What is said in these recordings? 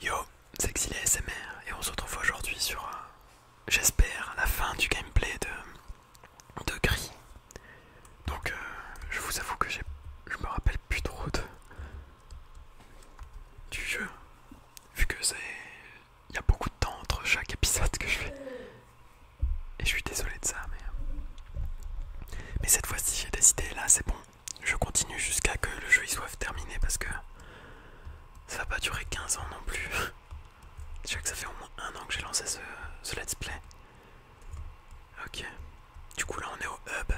Yo, c'est Exilé SMR et on se retrouve aujourd'hui sur, j'espère, la fin du gameplay de, de Gris. Donc euh, je vous avoue que je me rappelle plus trop du jeu, vu que c'est... Il y a beaucoup de temps entre chaque épisode que je fais. Et je suis désolé de ça, mais... Mais cette fois-ci j'ai décidé, là c'est bon, je continue jusqu'à que le jeu soit terminé parce que ça va pas durer 15 ans non plus. Je sais que ça fait au moins un an que j'ai lancé ce, let's play. Ok. Du coup là on est au hub.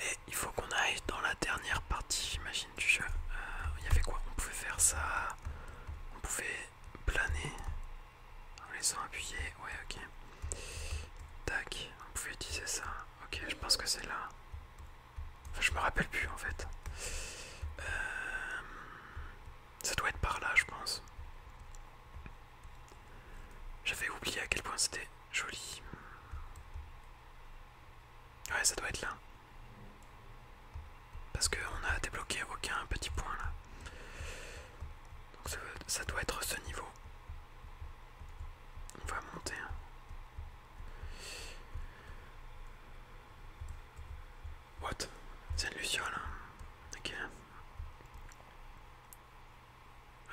Et il faut qu'on aille dans la dernière partie j'imagine du jeu. Euh, il y avait quoi On pouvait faire ça. On pouvait planer. En laissant appuyer. Ouais ok. Tac. On pouvait utiliser ça. Ok, je pense que c'est là. Enfin, je me rappelle plus en fait. Euh, ça doit être par là, je pense. J'avais oublié à quel point c'était joli. Ouais, ça doit être là. Parce qu'on a débloqué aucun petit point là. Donc ça doit être ce niveau. On va monter. Hein. What C'est une luciole. Hein. Ok.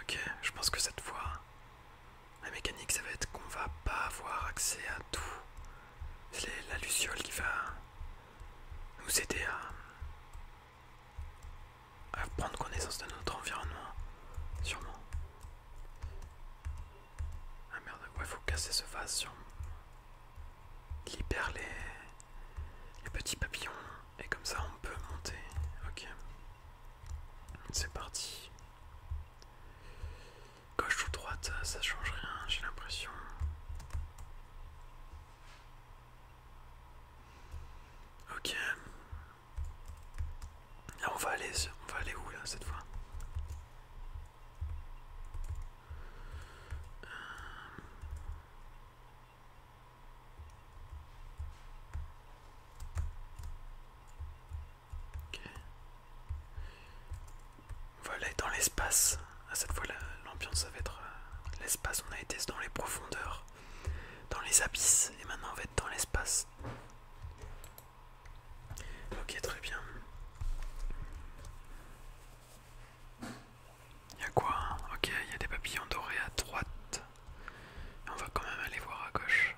Ok, je pense que cette fois, la mécanique, ça va être qu'on va pas avoir accès à tout. C'est la luciole qui va nous aider à à prendre connaissance de notre environnement, sûrement. Ah merde, ouais, faut casser ce vase, sur. Il libère les, les petits papillons, et comme ça on peut monter. Ok. C'est parti. Gauche ou droite, ça change rien, j'ai l'impression. Ok, ah, on va aller, où là cette fois euh, On va aller dans l'espace. À ah, cette fois l'ambiance ça va être euh, l'espace. On a été dans les profondeurs dans les abysses et maintenant on va être dans l'espace. Ok très bien. Il y a quoi hein Ok, il y a des papillons dorés à droite. on va quand même aller voir à gauche.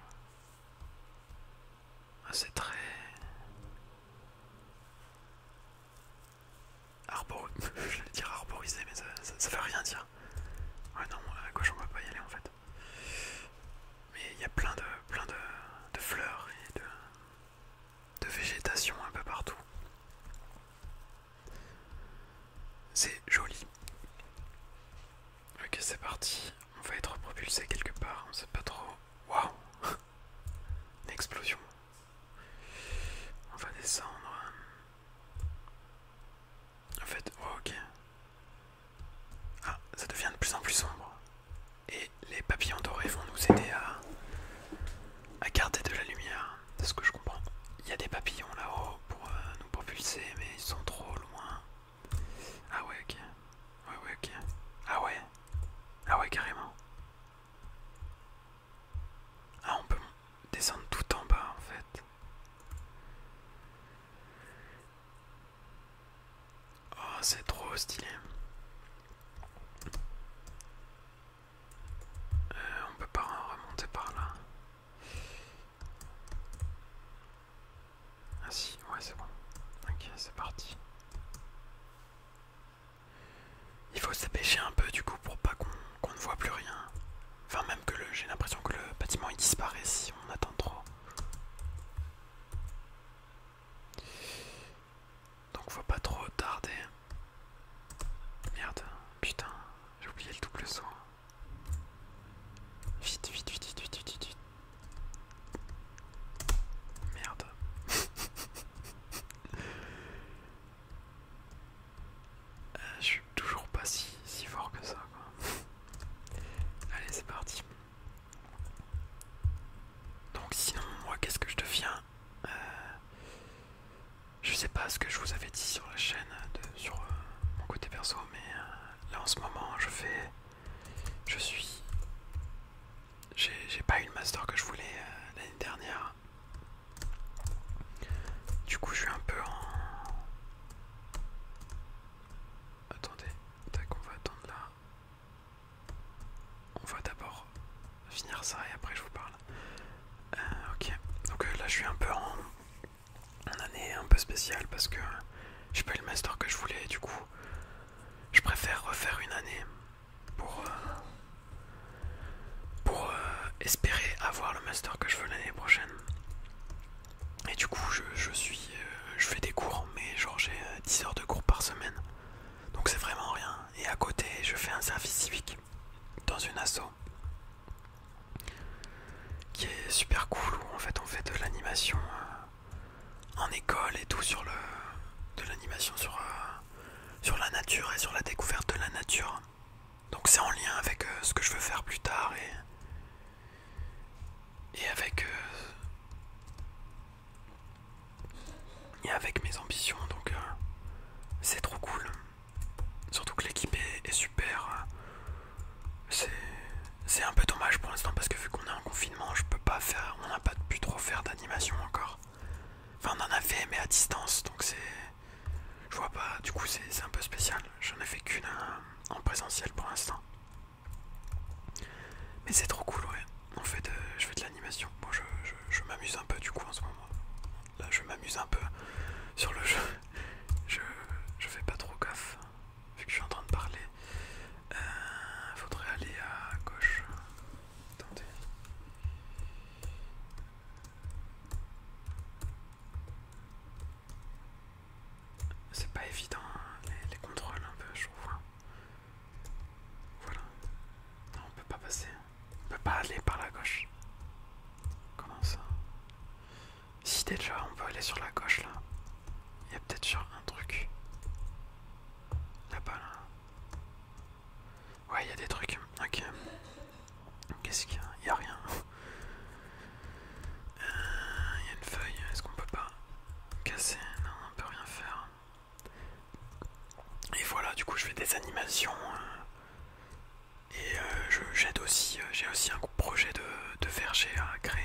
Ah, c'est très... Arbor... Je vais dire arborisé mais ça, ça, veut rien dire. Ouais ah non, à gauche on va pas y aller en fait. Mais il y a plein de, plein de, fleurs et de, de végétation un peu partout. C'est joli. Ok c'est parti, on va être propulsé quelque part, on sait pas trop. Waouh Une explosion. On va descendre. En fait, oh, ok. Ah, ça devient de plus en plus sombre. Et les papillons dorés vont nous aider à, garder de la lumière, c'est ce que je comprends. Il y a des papillons là-haut pour euh, nous propulser, mais ils sont trop loin. Ah ouais, ok. ouais, ok. Ah ouais. Ah ouais, carrément. Ah, on peut descendre tout en bas en fait. Oh, c'est trop stylé. Euh, on peut pas remonter par là. Ah si, ouais c'est bon. Ok, c'est parti. Il faut se un peu du coup pour pas qu'on ne voit plus rien. Enfin même que j'ai l'impression que le bâtiment il disparaît si on attend trop. Donc faut pas trop tarder. Merde, putain, j'ai oublié le double saut. Vite, vite, vite, vite, vite, vite, vite. Merde. je suis toujours pas si, fort que ça. Quoi. Allez, c'est parti. Donc, sinon, moi, qu'est-ce que je deviens euh, Je sais pas ce que je vous avais dit sur la chaîne, euh, de, sur euh, mon côté perso, mais là en ce moment, je fais. Je suis. J'ai pas eu le master que je voulais l'année dernière. Du coup, je suis un peu en. Attendez, on va attendre là. On va d'abord finir ça et après je vous parle. Euh, ok, donc euh, là je suis un peu en, année un peu spéciale parce que j'ai pas eu le master que je voulais du coup je préfère refaire une année pour, euh, pour espérer avoir le master que je veux l'année prochaine. Et du coup, je, suis, euh, je fais des cours, mais genre j'ai 10 euh, heures de cours par semaine. Donc c'est vraiment rien. Et à côté, je fais un service civique dans une asso qui est super cool où en fait on fait de l'animation euh, en école et tout sur l'animation sur la nature et sur la découverte de la nature donc c'est en lien avec euh, ce que je veux faire plus tard et, et avec euh, et avec mes ambitions. Donc euh, c'est trop cool. Surtout que l'équipe est, super. C'est un peu dommage pour l'instant parce que vu qu'on est en confinement, je peux pas faire, on n'a pas pu trop faire d'animation encore. Enfin, on en a fait, mais à distance, donc c'est. Je vois pas, du coup, c'est un peu spécial. J'en ai fait qu'une en présentiel pour l'instant. Mais c'est trop cool, ouais. en fait euh, je fais de l'animation. moi je, m'amuse un peu du coup en ce moment. Là, je m'amuse un peu sur le jeu. Je, fais pas trop gaffe vu que je suis en train de parler. Euh, faudrait aller à gauche. Attendez. C'est pas évident hein, les, contrôles un peu je trouve. Hein. Voilà. Non on peut pas passer. Hein. On peut pas aller par la gauche. Comment ça Si déjà on peut aller sur la gauche là. Il y a peut-être sur un truc. Là-bas là. Ouais il y a des trucs. Ok. Qu'est-ce qu'il y a Il n'y a rien. Euh, il y a une feuille, est-ce qu'on peut pas casser Non, on peut rien faire. Et voilà, du coup, je fais des animations. Euh, et euh, j'aide j'ai aussi, j'ai aussi un projet de, verger à créer.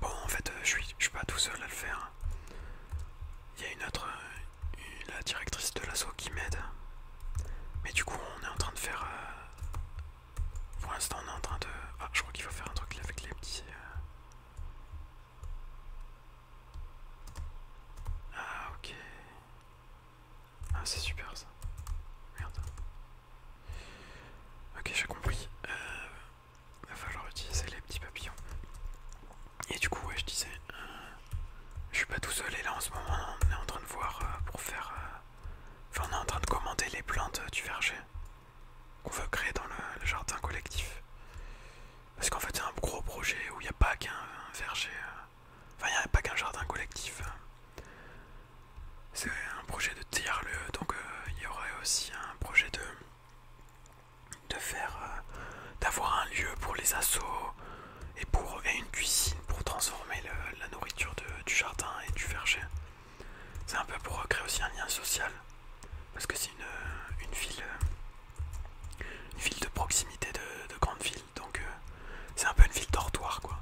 Bon, en fait, je suis, suis pas tout seul à le faire. Il y a une autre, la directrice de l'assaut qui m'aide. Mais du coup, on est en train de faire pour l'instant, on est en train de. Ah, je crois qu'il faut faire un truc avec les petits. Euh. Ah, ok. Ah, c'est super ça. Merde. Ok, j'ai compris. Il euh, va falloir utiliser les petits papillons. Et du coup, ouais, je disais, euh, je suis pas tout seul et là en ce moment, on est en train de voir pour faire on est en train de commander les plantes du verger qu'on veut créer dans le, jardin collectif. Parce qu'en fait, c'est un gros projet où il n'y a pas qu'un verger. Euh, enfin, il n'y a pas qu'un jardin collectif. C'est un projet de terre lieu donc euh, il y aurait aussi un projet de de faire euh, d'avoir un lieu pour les assauts et pour une cuisine pour transformer la nourriture de euh, du jardin et du verger. C'est un peu pour recréer aussi un lien social, parce que c'est une, euh, une, ville, euh, ville de proximité de, grande ville, donc c'est un peu une ville dortoir quoi.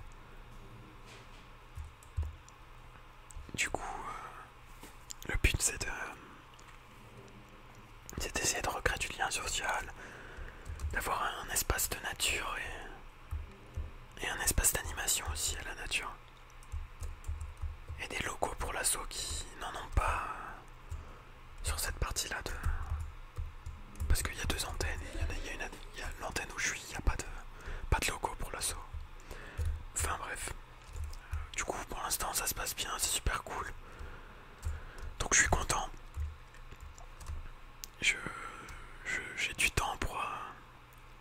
Du coup, le but c'est de, c'est d'essayer de recréer du lien social, d'avoir un espace de nature et et un espace d'animation aussi à la nature. Et des locaux pour l'assaut qui n'en ont pas euh, sur cette partie-là de. Parce qu'il y a deux antennes, il y, y a, l'antenne où je suis, il n'y a pas de, pas de locaux pour l'assaut. Enfin bref. Du coup, pour l'instant, ça se passe bien, c'est super cool. Donc je suis content. Je, j'ai du temps pour, euh,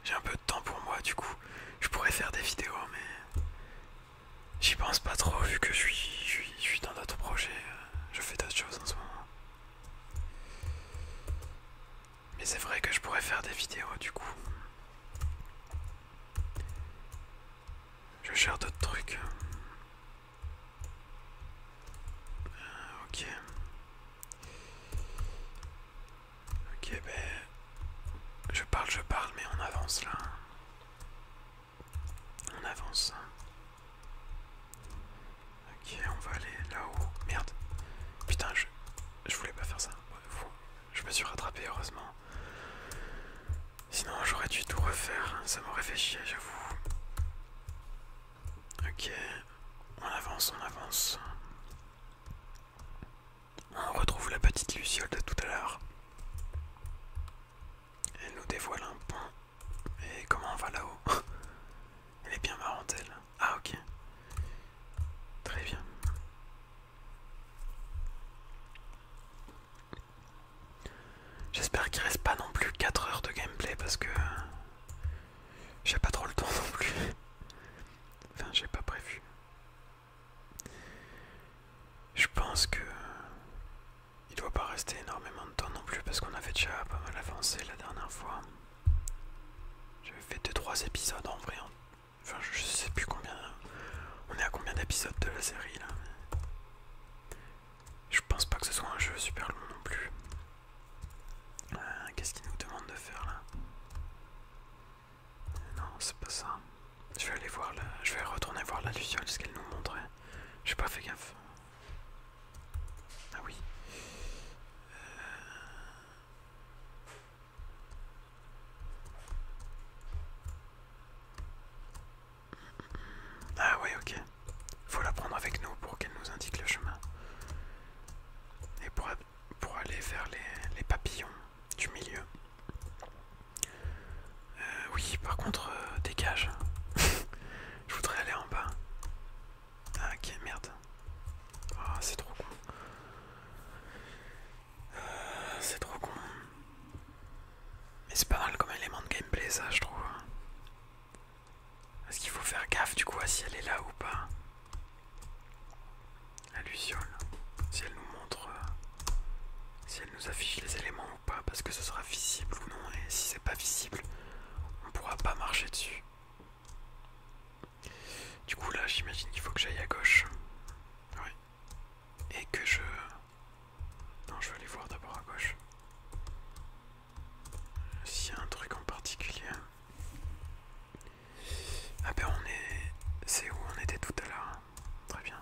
j'ai un peu de temps pour moi du coup. Je pourrais faire des vidéos mais j'y pense pas trop vu que je suis, suis, dans d'autres projets. Euh, je fais d'autres choses en ce moment. Mais c'est vrai que je pourrais faire des vidéos du coup. Je gère d'autres trucs. Euh, ok. Ok, ben... Je parle, je parle, mais on avance là. On avance. Hein. Ok, on va aller là-haut. Merde. Putain, je... Je voulais pas faire ça. Je me suis rattrapé, heureusement. Sinon, j'aurais dû tout refaire. Hein. Ça m'aurait fait chier, j'avoue. Ok, on avance, on avance. On retrouve la petite luciole de tout à l'heure. Elle nous dévoile un pont. Et comment on va là-haut Elle est bien marrant elle. Ah ok. Très bien. J'espère qu'il reste pas non plus 4 heures de gameplay parce que j'ai pas trop le temps non plus. Enfin, j'ai pas prévu. Je pense que euh, il doit pas rester énormément de temps non plus parce qu'on avait déjà pas mal avancé la dernière fois. J'avais fait 2-3 épisodes en vrai. Hein. Enfin, je sais plus combien. On est à combien d'épisodes de la série là Je pense pas que ce soit un jeu super long non plus. Euh, qu'est-ce qu'il nous demande de faire là euh, Non, c'est pas ça. Je vais aller voir Je vais retourner voir la luciole, ce qu'elle nous montrait. J'ai pas fait gaffe. Ah oui. Euh. Ah oui, ok. Faut la prendre avec nous pour qu'elle nous indique le chemin et pour, aller vers les, papillons du milieu. Euh, oui, par contre, euh, dégage. Je voudrais aller en bas. Ah, ok, merde. Ah, c'est trop con. Euh, c'est trop con. Mais c'est pas mal comme élément de gameplay, ça, je trouve. Est-ce qu'il faut faire gaffe du coup à si elle est là ou pas La luciole. Si elle nous montre. Euh, si elle nous affiche les éléments ou pas. Parce que ce sera visible ou non. Et si c'est pas visible, on pourra pas marcher dessus. Du coup là j'imagine qu'il faut que j'aille à gauche. Oui. Et que je... Non je vais aller voir d'abord à gauche. S'il y a un truc en particulier. Ah ben on est... C'est où on était tout à l'heure. Très bien.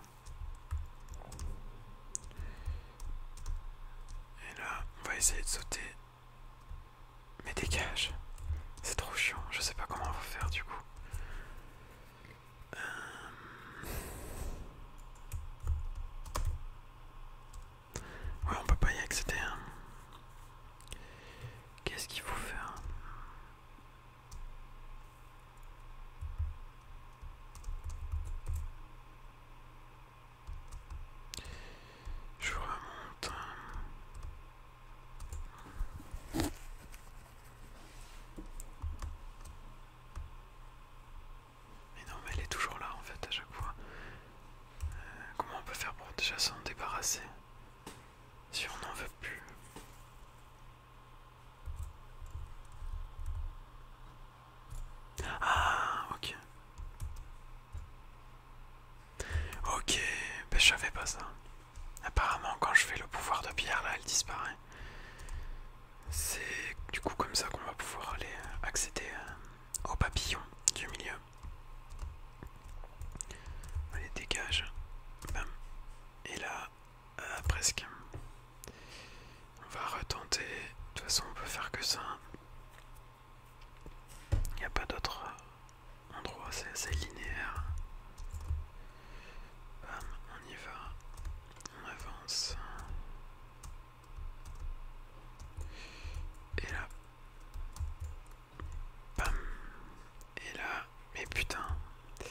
Et là, on va essayer de sauter. Mais dégage. C'est trop chiant. Je sais pas comment on va faire du coup. Euh, Ouais, on peut pas y accéder. Hein. Qu'est-ce qu'il faut faire Je remonte. Hein. Mais non, mais elle est toujours là en fait à chaque fois. Euh, comment on peut faire pour déjà s'en débarrasser si on n'en veut plus Ah, ok. Ok, ben je savais pas ça. Apparemment, quand je fais le pouvoir de pierre, là, elle disparaît. C'est du coup comme ça qu'on va pouvoir aller euh, accéder euh, au papillon du milieu. Allez, dégage. Et là, euh, presque. On va retenter. De toute façon, on peut faire que ça. Il n'y a pas d'autre euh, endroit, c'est assez linéaire. on y va. On avance. Et là, et là, mais putain. Euh,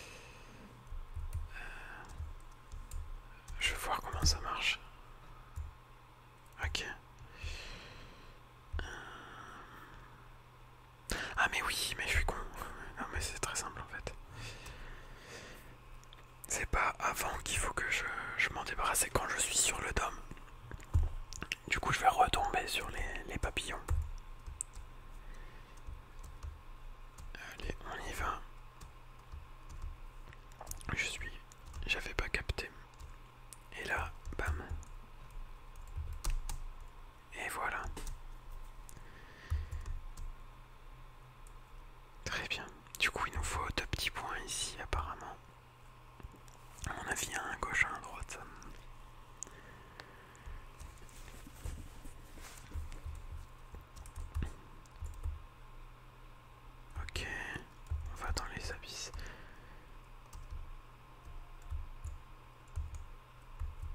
je vais voir comment ça marche. Ok. Euh. Ah mais oui, mais je suis con. Non mais c'est très simple en fait. C'est pas avant qu'il faut que je, m'en débarrasse, c'est quand je suis sur le dôme. Du coup, je vais retomber sur les, papillons. Allez, on y va. Je suis. J'avais pas capté. Et là, bam. Et voilà. Très bien. Du coup, il nous faut deux petits points ici, apparemment. On a avis, un gauche, un droite. Ok, on va dans les abysses.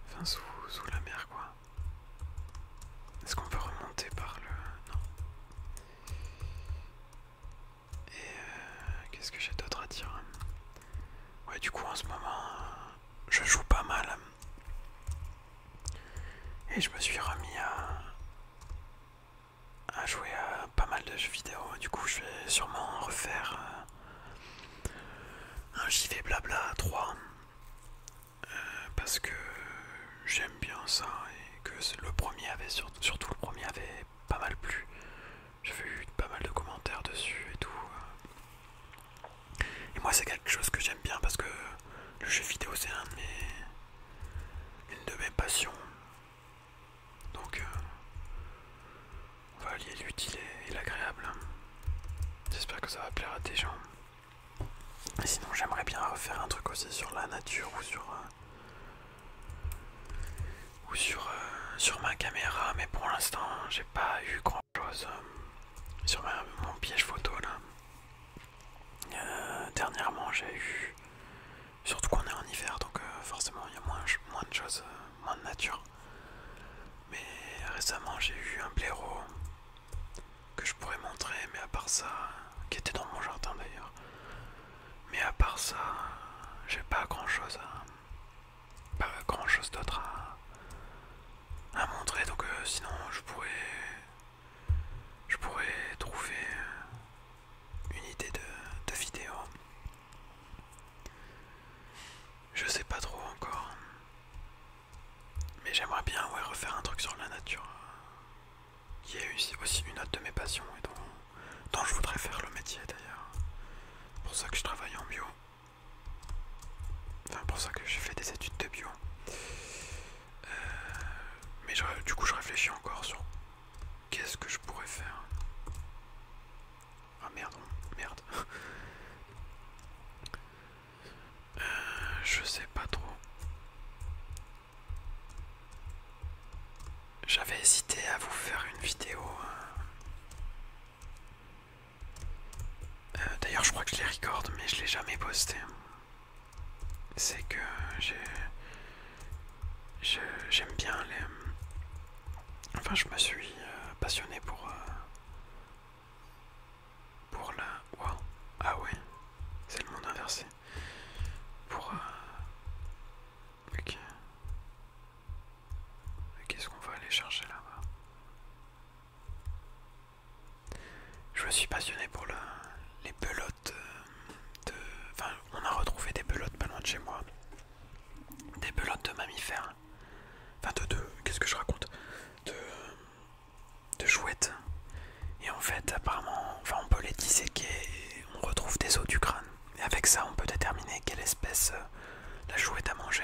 Enfin, sous, sous la mer quoi. Est-ce qu'on peut remonter par le... Non. Et euh, qu'est-ce que j'ai d'autre à dire Ouais, du coup, en ce moment, euh, je joue pas mal. Et je me suis remis à, à jouer à pas mal de jeux vidéo. Du coup, je vais sûrement refaire euh, un JV Blabla 3. parce que j'aime bien ça et que le premier avait, surtout, surtout le premier avait pas mal plu. j'ai eu pas mal de commentaires dessus et tout. Et moi, c'est quelque chose que j'aime bien parce que le jeu vidéo, c'est une de mes passions. Donc, euh, on va allier l'utile et l'agréable. J'espère que ça va plaire à des gens. sinon, j'aimerais bien refaire un truc aussi sur la nature ou sur euh, ou sur, euh, sur ma caméra, mais pour l'instant j'ai pas eu grand chose euh, sur mon piège photo là. Euh, dernièrement j'ai eu, surtout qu'on est en hiver donc forcément il y a moins, de choses, moins de nature. Mais récemment j'ai eu un blaireau que je pourrais montrer, mais à part ça, qui était dans mon jardin d'ailleurs, mais à part ça, j'ai pas grand chose pas grand chose d'autre à, montrer, donc euh, sinon je pourrais. je pourrais trouver euh, une idée de, vidéo. Je sais pas trop encore. Mais j'aimerais bien refaire un truc sur la nature qui est aussi une autre de mes passions et dont, je voudrais faire le métier d'ailleurs. pour ça que je travaille en bio. Enfin, pour ça que j'ai fait des études de bio. Euh, mais du coup, je réfléchis encore sur qu'est-ce que je pourrais faire. Ah merde, merde. Euh, je sais pas trop. J'avais hésité à vous faire une vidéo. Hein. Euh, d'ailleurs, je crois que je les recorde, mais je l'ai jamais posté. C'est que j'ai, j'aime bien les. Enfin, je me suis euh, passionné pour euh, pour la. Ah ouais, c'est le monde inversé. Pour Ok. Qu'est-ce qu'on va aller chercher là-bas Je me suis passionné pour les pelotes euh, de... Enfin, on a retrouvé des pelotes pas loin de chez moi. Des pelotes de mammifères. Enfin, de... Qu'est-ce que je raconte De... De chouettes. Et en fait, apparemment, enfin, on peut les disséquer et on retrouve des os du crâne avec ça on peut déterminer quelle espèce euh, la est à manger.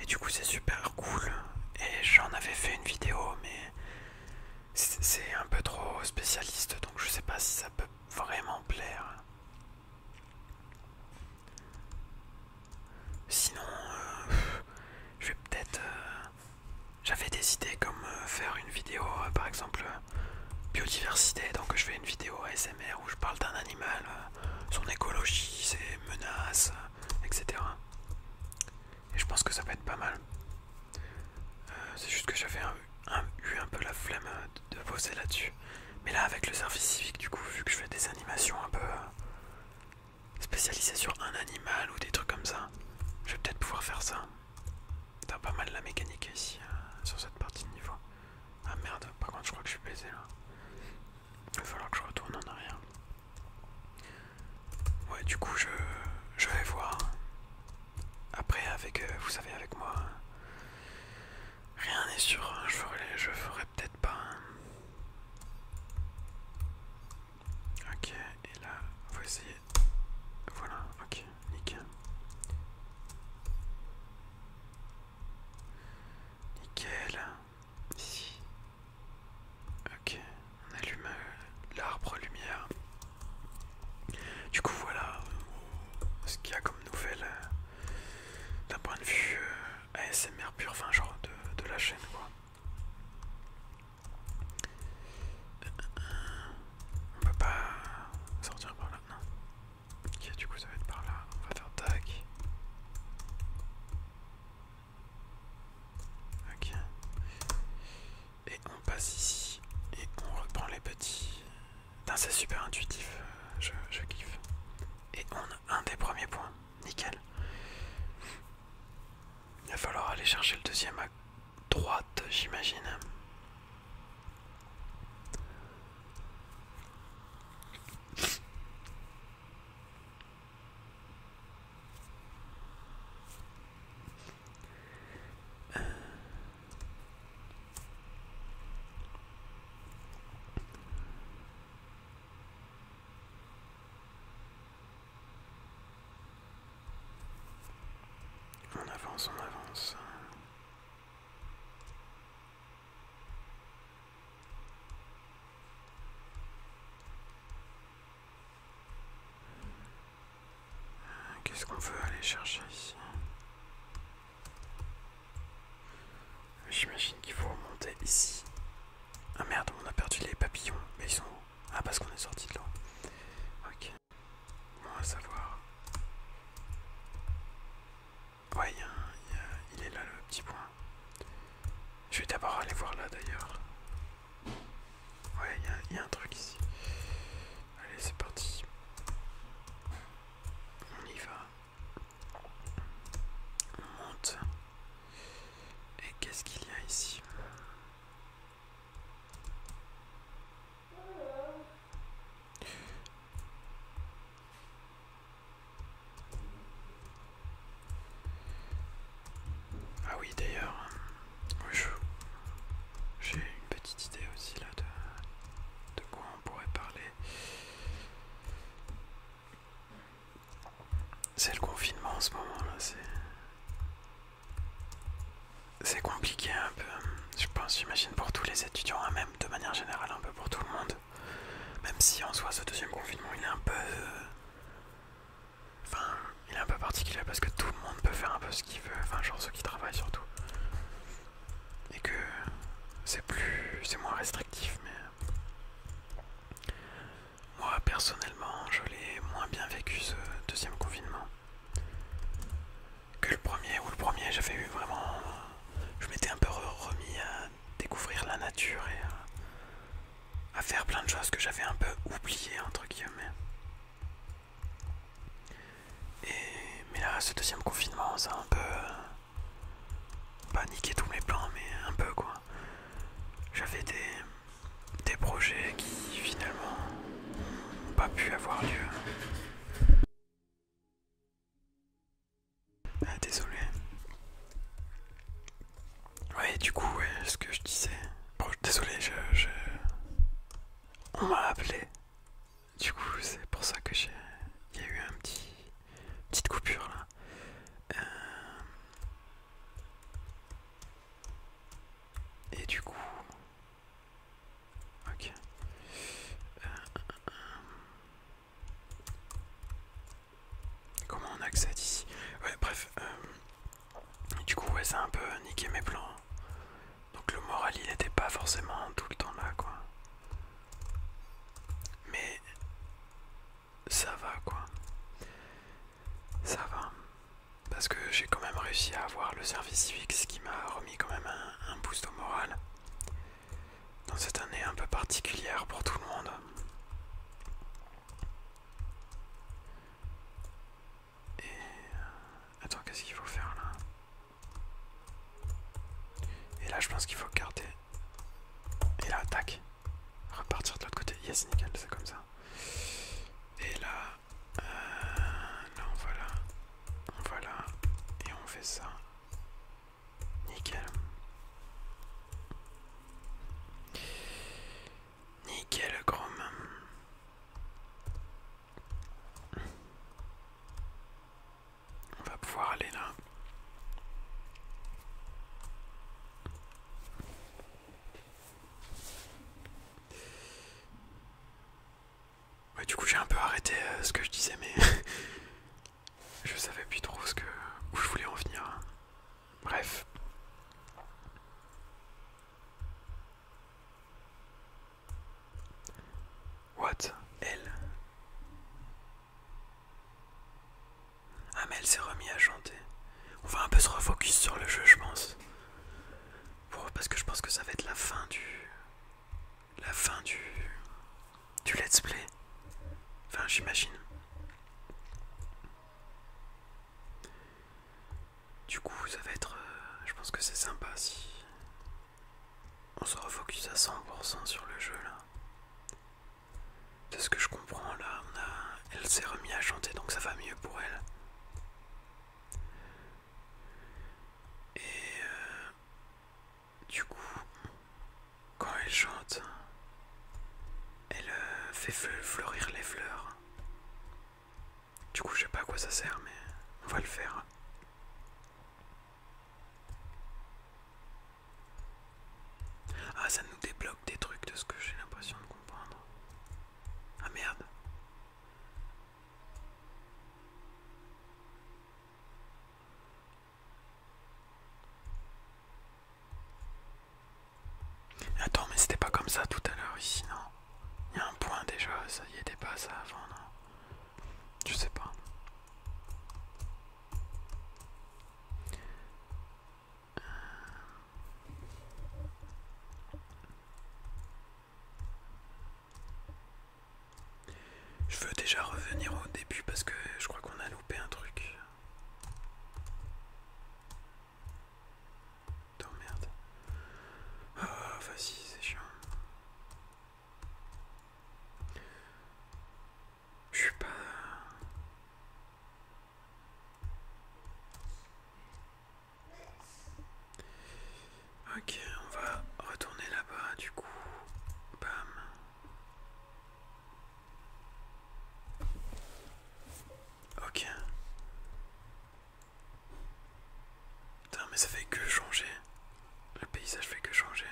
Et du coup c'est super cool et j'en avais fait une vidéo mais c'est un peu trop spécialiste donc je sais pas si ça peut vraiment plaire. Sinon euh, je vais peut-être... Euh, j'avais des idées comme faire une vidéo par exemple biodiversité, donc je fais une vidéo ASMR où je parle d'un animal, euh, son écologie, ses menaces, euh, etc. Et je pense que ça peut être pas mal. Euh, c'est juste que j'avais eu un peu la flemme de, bosser là-dessus. Mais là, avec le service civique, du coup, vu que je fais des animations un peu spécialisées sur un animal ou des trucs comme ça, je vais peut-être pouvoir faire ça. T'as pas mal la mécanique ici, euh, sur cette partie de niveau. Ah merde, par contre je crois que je suis baisé là. Il va falloir que je retourne en arrière. Ouais du coup je, je vais voir. Après avec, euh, vous savez avec moi, rien n'est sûr, hein. je ferai, je ferai peut-être pas. Hein. Ok, et là, essayez voilà, ok, nickel. Nickel. Ici. Ok, on allume euh, l'arbre lumière. Du coup voilà euh, ce qu'il y a comme nouvelle euh, d'un point de vue ASMR pur, enfin genre de, de la chaîne quoi. On peut pas sortir par là, non. Ok, du coup ça va être par là. On va faire tac. Ok. Et on passe ici. Et on reprend les petits. C'est super intuitif. Euh, je, je kiffe. Et on a un des premiers points. Nickel. Il va falloir aller chercher le deuxième à droite, j'imagine. On avance, on avance. Qu'est-ce qu'on veut aller chercher ici J'imagine qu'il faut remonter ici. Ah merde, on a perdu les papillons. Mais ils sont où Ah parce qu'on est sorti de là. Ok. Bon, à savoir. Ouais, il est là le petit point. Je vais d'abord aller voir là d'ailleurs. Ouais, il y a un truc ici. Allez, c'est parti. On y va. On monte. Et qu'est-ce qu'il y a ici ah oui d'ailleurs, euh, j'ai une petite idée aussi là de, de quoi on pourrait parler. C'est le confinement en ce moment là, c'est c'est compliqué un peu, je pense, j'imagine pour tous les étudiants, à hein, même de manière générale, un peu pour tout le monde. Même si en soi ce deuxième confinement il est un peu... Euh, enfin, il est un peu particulier parce que tout le monde peut faire un peu ce qu'il veut, enfin genre ceux qui travaillent surtout. Et que c'est plus... c'est moins restrictif, mais... Moi personnellement, je l'ai moins bien vécu ce deuxième confinement que le premier, ou le premier j'avais eu vraiment... Je m'étais un peu remis à découvrir la nature et à, faire plein de choses que j'avais un peu oublié entre guillemets. Et, mais là, ce deuxième confinement, ça a un peu... Euh, pas niqué tous mes plans, mais un peu quoi. J'avais des, des projets qui finalement pas pu avoir lieu. Ah, désolé. Ouais, du coup, ouais, ce que je disais. Bon, désolé, je. On m'a appelé. Du coup, c'est pour ça que j'ai. y a eu un petit. Petite coupure là. Euh, et du coup, Ok. Euh, comment on accède ici Ouais, bref. Euh, du coup, ouais, ça a un peu niqué mes plans. Donc le moral, il n'était pas forcément tout le temps là, quoi. Mais ça va, quoi. Ça va parce que j'ai quand même réussi à avoir le service civique, ce qui m'a remis quand même un, boost au moral dans cette année un peu particulière pour tout le monde. Et... Euh, attends, qu'est-ce qu'il faut faire là Et là, je pense qu'il faut garder. Et là, tac. Repartir de l'autre côté. Yes, nickel, c'est comme ça. Et là, euh, non voilà, on va Et on fait ça. Nickel. Nickel, gros, On va pouvoir aller là. Ouais, bah, du coup, j'ai un peu arrêté euh, ce que je disais, mais je savais plus trop ce que où je voulais en venir. Bref. What Elle Ah mais elle s'est remis à chanter. On va un peu se refocus sur le jeu je pense. Bon, parce que je pense que ça va être la fin du. La fin du. Du let's play. Enfin, j'imagine. Du coup, ça va être. Euh, je pense que c'est sympa si. On se refocus à 100% sur le jeu là. De ce que je comprends là, elle s'est remis à chanter donc ça va mieux pour elle. Et euh, du coup, quand elle chante, elle euh, fait fleurir les fleurs. Du coup, je sais pas à quoi ça sert, mais on va le faire. Ah, ça nous débloque des trucs de ce que j'ai l'impression de comprendre. Ah merde. Attends, mais c'était pas comme ça tout à l'heure ici, non Il y a un point déjà, ça y était pas ça avant, non Je sais pas. Je veux déjà revenir au début parce que je crois qu'on a loupé un truc. Oh merde. Ah, c'est chiant. Je suis pas. Ok, on va retourner là-bas du coup. Bam. Ok. Putain, mais ça fait que changer. Le paysage fait que changer.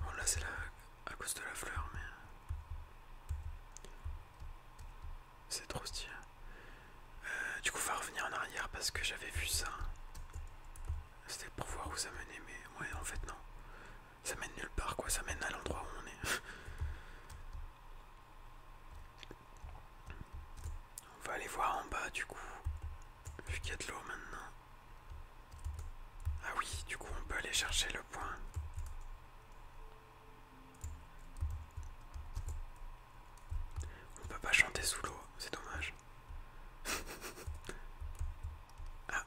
Bon, là c'est à cause de la fleur, mais. C'est trop stylé. Euh, du coup, on va revenir en arrière parce que j'avais vu ça. C'était pour voir où ça menait, mais ouais, en fait, non. Ça mène nulle part, quoi. Ça mène à l'endroit où on est. on va aller voir en bas, du coup. Vu qu'il y a de l'eau maintenant. Ah oui, du coup, on peut aller chercher le point. On peut pas chanter sous l'eau, c'est dommage. ah,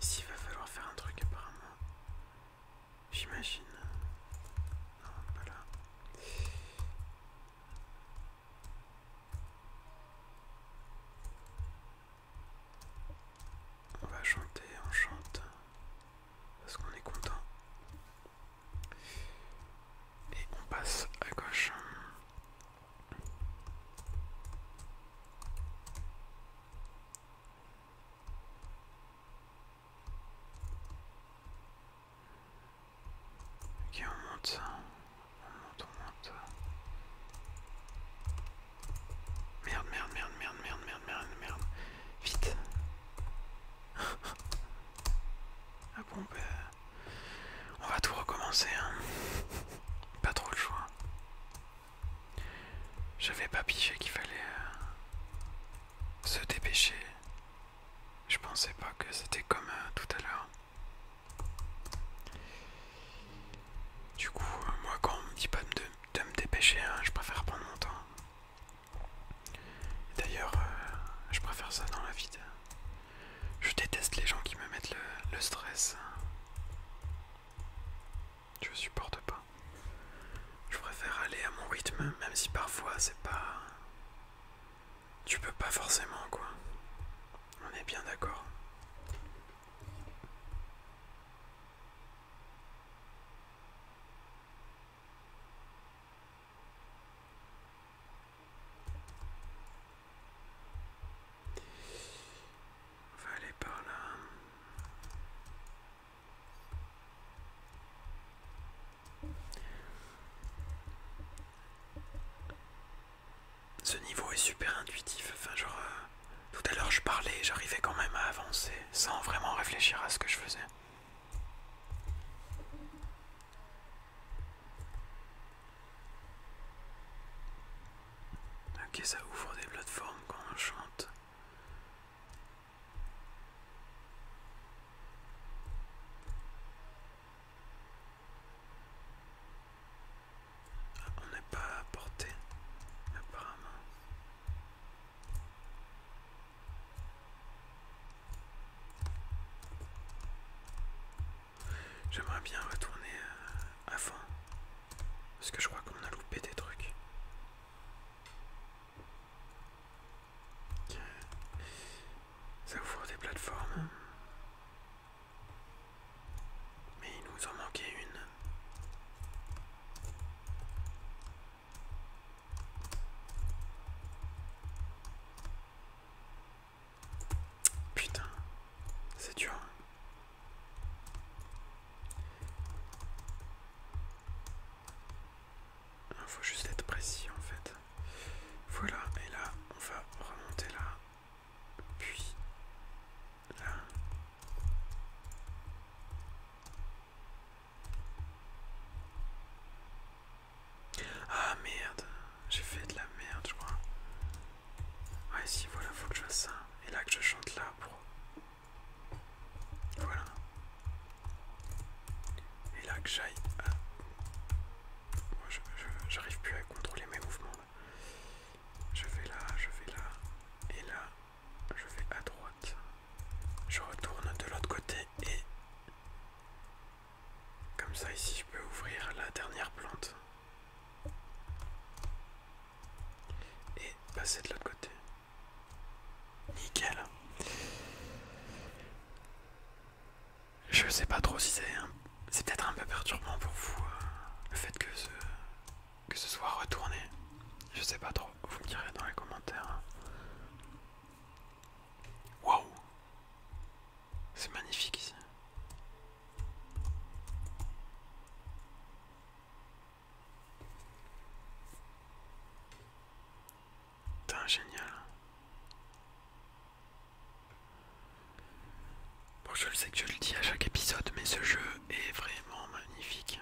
ici il va falloir faire un truc apparemment. J'imagine. Non, pas là. On va chanter, on chante. Parce qu'on est content. Et on passe à gauche. Ok, on monte. On monte, on monte. Merde, merde, merde, merde, merde, merde, merde, merde. Vite. ah bon, ben, on va tout recommencer. Hein. Pas trop le choix. J'avais pas piché qu'il fallait euh, se dépêcher. Je pensais pas que c'était comme euh, tout à l'heure. Du coup, euh, moi quand on me dit pas de, me dépêcher, hein, je préfère prendre mon temps. D'ailleurs, euh, je préfère ça dans la vie. Je déteste les gens qui me mettent le, stress. Je supporte pas. Je préfère aller à mon rythme, même si parfois c'est pas. Tu peux pas forcément, quoi. On est bien d'accord. On va aller par là. Ce niveau est super intuitif, enfin genre euh, tout à l'heure je parlais, j'arrivais quand même à avancer sans vraiment réfléchir à ce que je faisais. Ok, ça ouvre des plateformes quand on chante. Ah, on n'est pas à portée, apparemment. J'aimerais bien retourner euh, à fond, Parce que je crois qu'on a loupé des trucs. Ça ouvre des plateformes. Mais il nous en manquait une. Putain, c'est dur. Il hein. ah, faut juste être précis en fait. Voilà, et là, on va remonter là, puis là. Ah merde, j'ai fait de la merde, je crois. Ah si, voilà, faut que je fasse ça. Et là que je chante là pour. Voilà. Et là que j'aille. À... Moi, je j'arrive plus à contrôler mes mouvements. Je vais là, je vais là. Et là, je vais à droite. Je retourne de l'autre côté et comme ça ici je peux ouvrir la dernière plante et passer de l'autre côté. Nickel. Je sais pas trop si c'est c'est peut-être un peu perturbant pour vous euh, le fait que ce que ce soit retourné. Je sais pas trop. Vous me direz dans les commentaires. Waouh C'est magnifique ici. génial. Bon, je le sais que je le dis à chaque épisode, mais ce jeu est vraiment magnifique.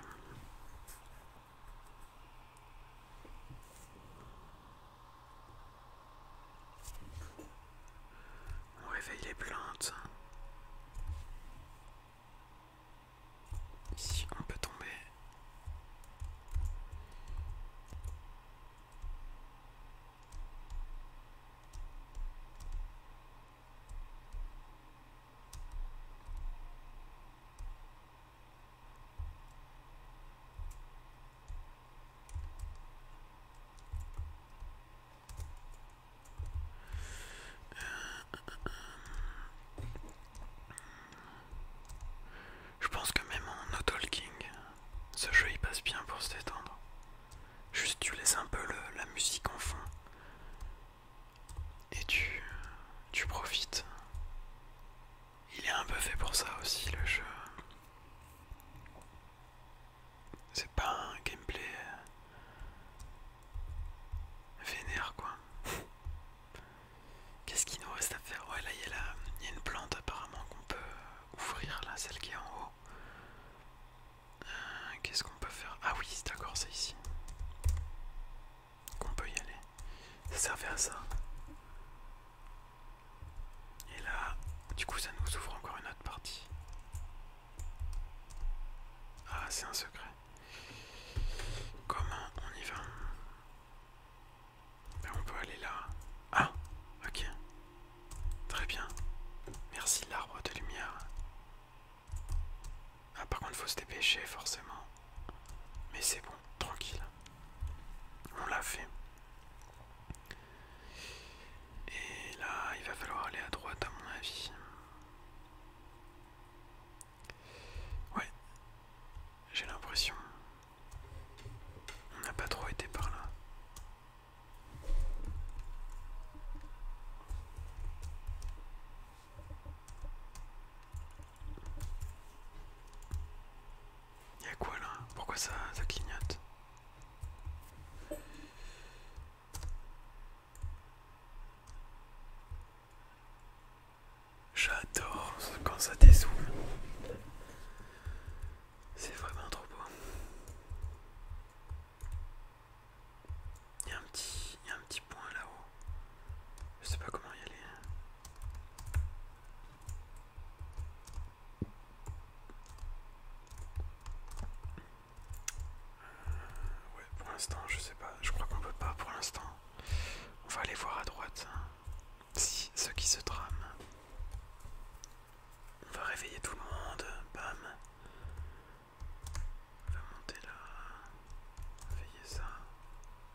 On réveille les plantes. Hein. Ici, on peut tomber. Je pense que même en no talking, ce jeu y passe bien pour se détendre. Juste tu laisses un peu la musique en fond et tu profites il est un peu fait pour ça aussi le jeu. C'est pas un gameplay euh, vénère quoi. Qu'est-ce qu'il nous reste à faire Ouais là il y, a une plante apparemment qu'on peut euh, ouvrir là, celle qui est en haut. Euh, qu'est-ce qu'on peut faire Ah oui, d'accord, c'est ici qu'on peut y aller. Ça servait à ça. Et là, du coup, ça nous ouvre encore une autre partie. Ah, c'est un secret. Comment on y va ben, On peut aller là. Ah, ok. Très bien. Merci l'arbre de lumière. Ah, par contre, faut se dépêcher, forcément. Mais c'est bon, tranquille. On l'a fait. Et là, il va falloir aller à droite à mon avis. Ouais, j'ai l'impression. On n'a pas trop été par là. Y'a quoi là Pourquoi ça, ça clignote J'adore quand ça dézoome. C'est vraiment trop beau. Il y, y a un petit point là-haut. Je sais pas comment y aller. Hein. Ouais, pour l'instant, je sais pas. Je crois qu'on peut pas pour l'instant. On va aller voir à droite hein. si ce qui se trame. On va réveiller tout le monde. Bam. On va monter là. Réveiller ça.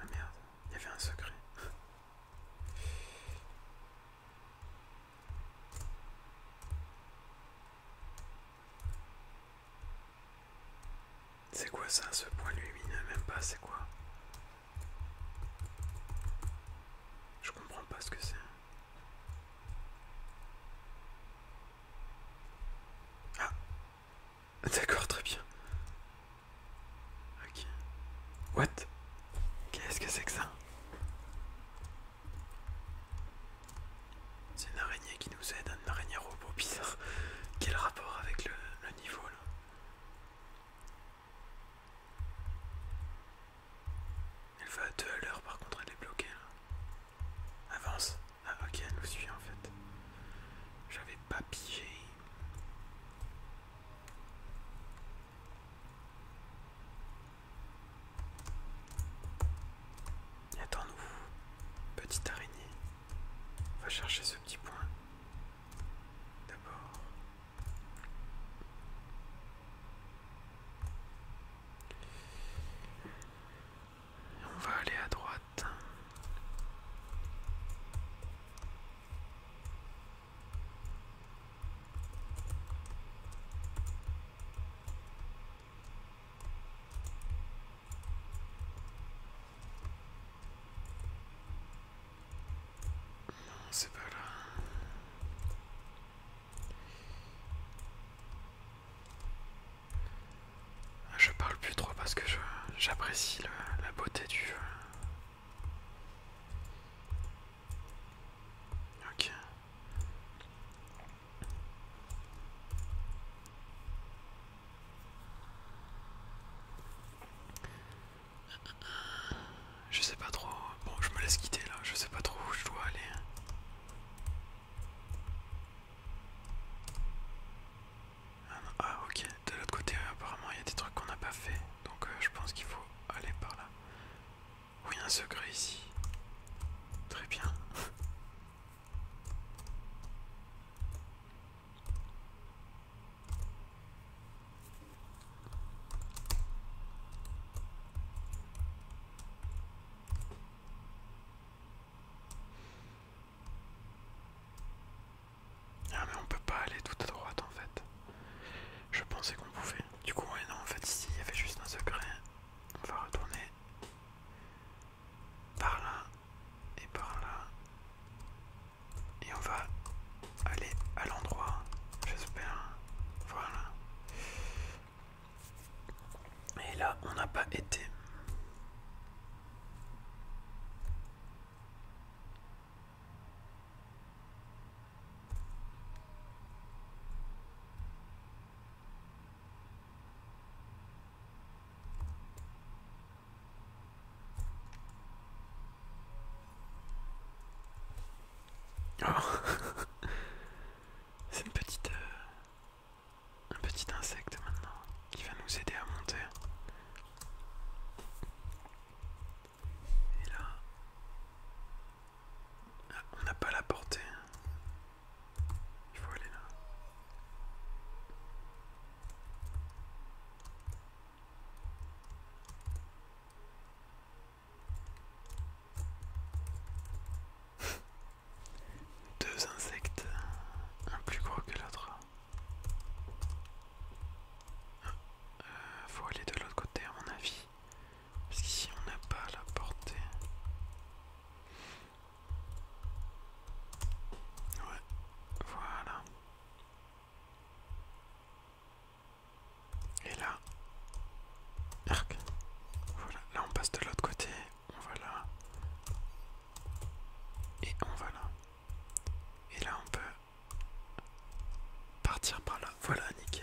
Ah merde, il y avait un secret. C'est quoi ça, ce point lumineux Même pas, c'est quoi Je comprends pas ce que c'est. Ah D'accord, très bien. Ok. What Qu'est-ce que c'est que ça C'est une araignée qui nous aide, une araignée robot bizarre. Quel rapport avec le, niveau là elle va à 2 à l'heure par contre elle est bloquée là. Avance. Ah ok, elle nous suit en fait. J'avais pas pigé. Attends-nous, petite araignée. On va chercher ce petit point. D'abord. On va aller à droite. c'est pas là. Ah, je parle plus trop parce que j'apprécie la beauté du jeu. Ok. Je sais pas trop. Bon, je me laisse quitter là. Je sais pas trop où je dois aller. Ah, ok, de l'autre côté euh, apparemment il y a des trucs qu'on n'a pas fait, donc euh, je pense qu'il faut aller par là. Oui, un secret ici. Très bien. Ah mais on peut pas aller tout à droite en fait. Je pensais qu'on pouvait. Du coup non en fait ici il y avait juste un secret. On va retourner par là et par là. Et on va aller à l'endroit. J'espère. Voilà. Et là, on n'a pas été. C'est une petite, euh, un petit insecte maintenant qui va nous aider à monter. Et là, ah, on n'a pas la portée. Il faut aller là. Deux insectes, un plus gros que l'autre. Il euh, faut aller de l'autre côté à mon avis. Parce qu'ici on n'a pas la portée. Ouais, voilà. Et là, voilà, là on passe de l'autre côté, on va là. Et on va là. Et là on peut partir par là. Voilà, nickel.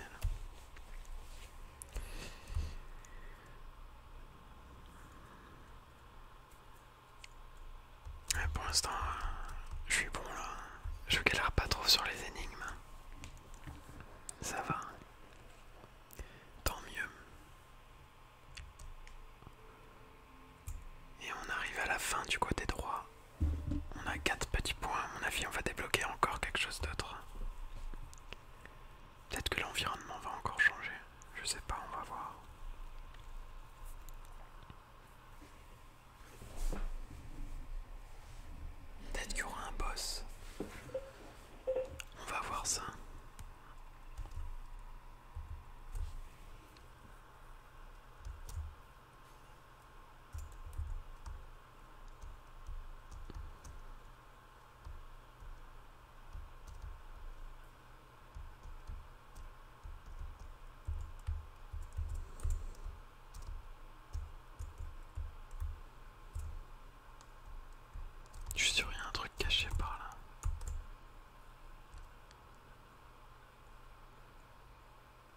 pour l'instant, je suis bon là. Je galère pas trop sur les énigmes. Ça va tant mieux. Et on arrive à la fin du côté droit. On a 4 petits points, mon avis on va débloquer encore quelque chose d'autre. Peut-être que l'environnement va encore changer, je sais pas, on va voir. Peut-être qu'il y aura un boss. On va voir ça. Je suis sûr y a un truc caché par là.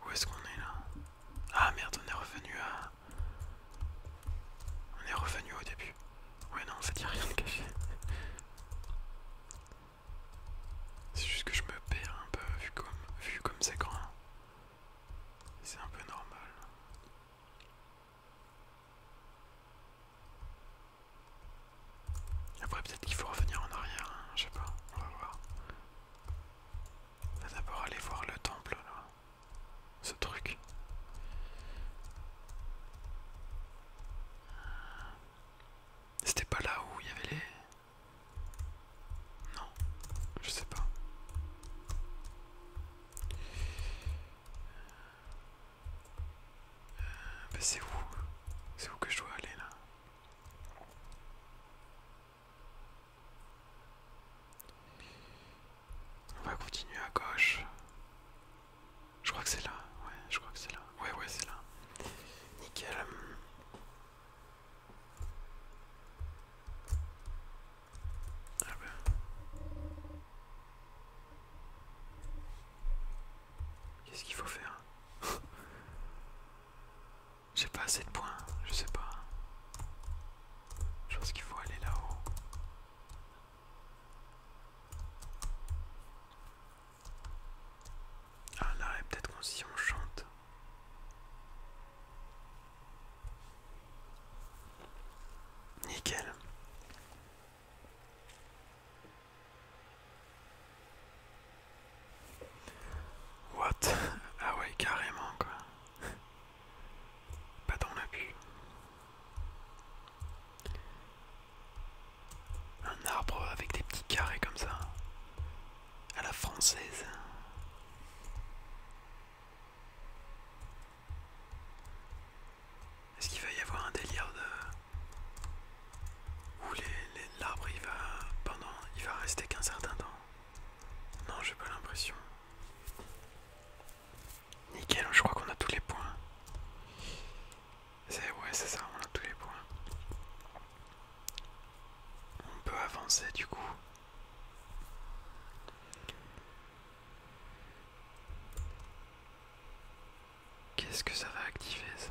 Où est-ce qu'on est là Ah merde, on est revenu à... On est revenu au début. Ouais non, ça dit rien de caché. C'est juste que je me perds un peu vu comme vu comme c'est grand. C'est un peu normal. Après peut-être qu'il faut revenir en arrière, hein, je sais pas, on va voir. On va d'abord aller voir le temple là, ce truc. C'était pas là où il y avait les... Non, je sais pas. Euh, c'est où C'est où que je dois aller là On va continuer à gauche. Je crois que c'est là. Ouais, je crois que c'est là. Ouais, ouais, c'est là. Nickel. Qu'est-ce qu'il faut faire J'ai pas assez de points, je sais pas. Je pense qu'il faut aller là-haut. Ah là, peut-être qu'on s'y chante. Nickel. What Ah ouais, carrément quoi. Pas dans la Un arbre avec des petits carrés comme ça. À la française. Est-ce qu'il va y avoir un délire de... Où l'arbre les, il va... Pendant... Il va rester qu'un certain temps Non, j'ai pas l'impression. Nickel, je crois qu'on a tous les points. Ouais, c'est ça, on a tous les points. On peut avancer du coup. Qu'est-ce que ça va activer ça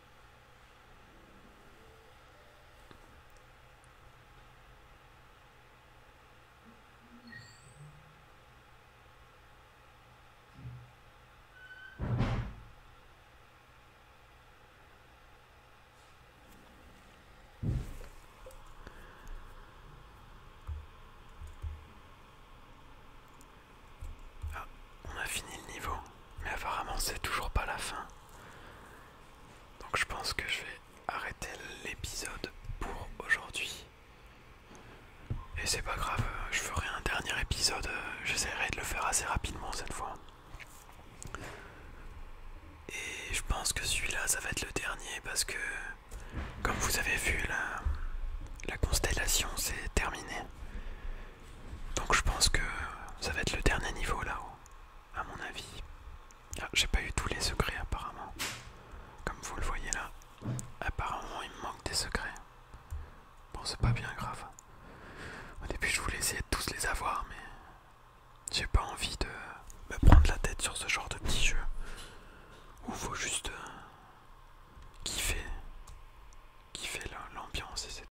Ah, on a fini le niveau mais apparemment c'est toujours pas la fin. Donc je pense que je vais arrêter l'épisode pour aujourd'hui. Et c'est pas grave, je ferai un dernier épisode, j'essaierai de le faire assez rapidement cette fois. Et je pense que celui-là ça va être le dernier parce que comme vous avez vu la, la constellation s'est terminée. Donc je pense que ça va être le dernier niveau là-haut, à mon avis. Ah, j'ai pas eu tous les secrets apparemment. Comme vous le voyez là, apparemment il me manque des secrets. Bon, c'est pas bien grave. Au début, je voulais essayer de tous les avoir, mais j'ai pas envie de me prendre la tête sur ce genre de petit jeu où faut juste euh, kiffer, kiffer l'ambiance et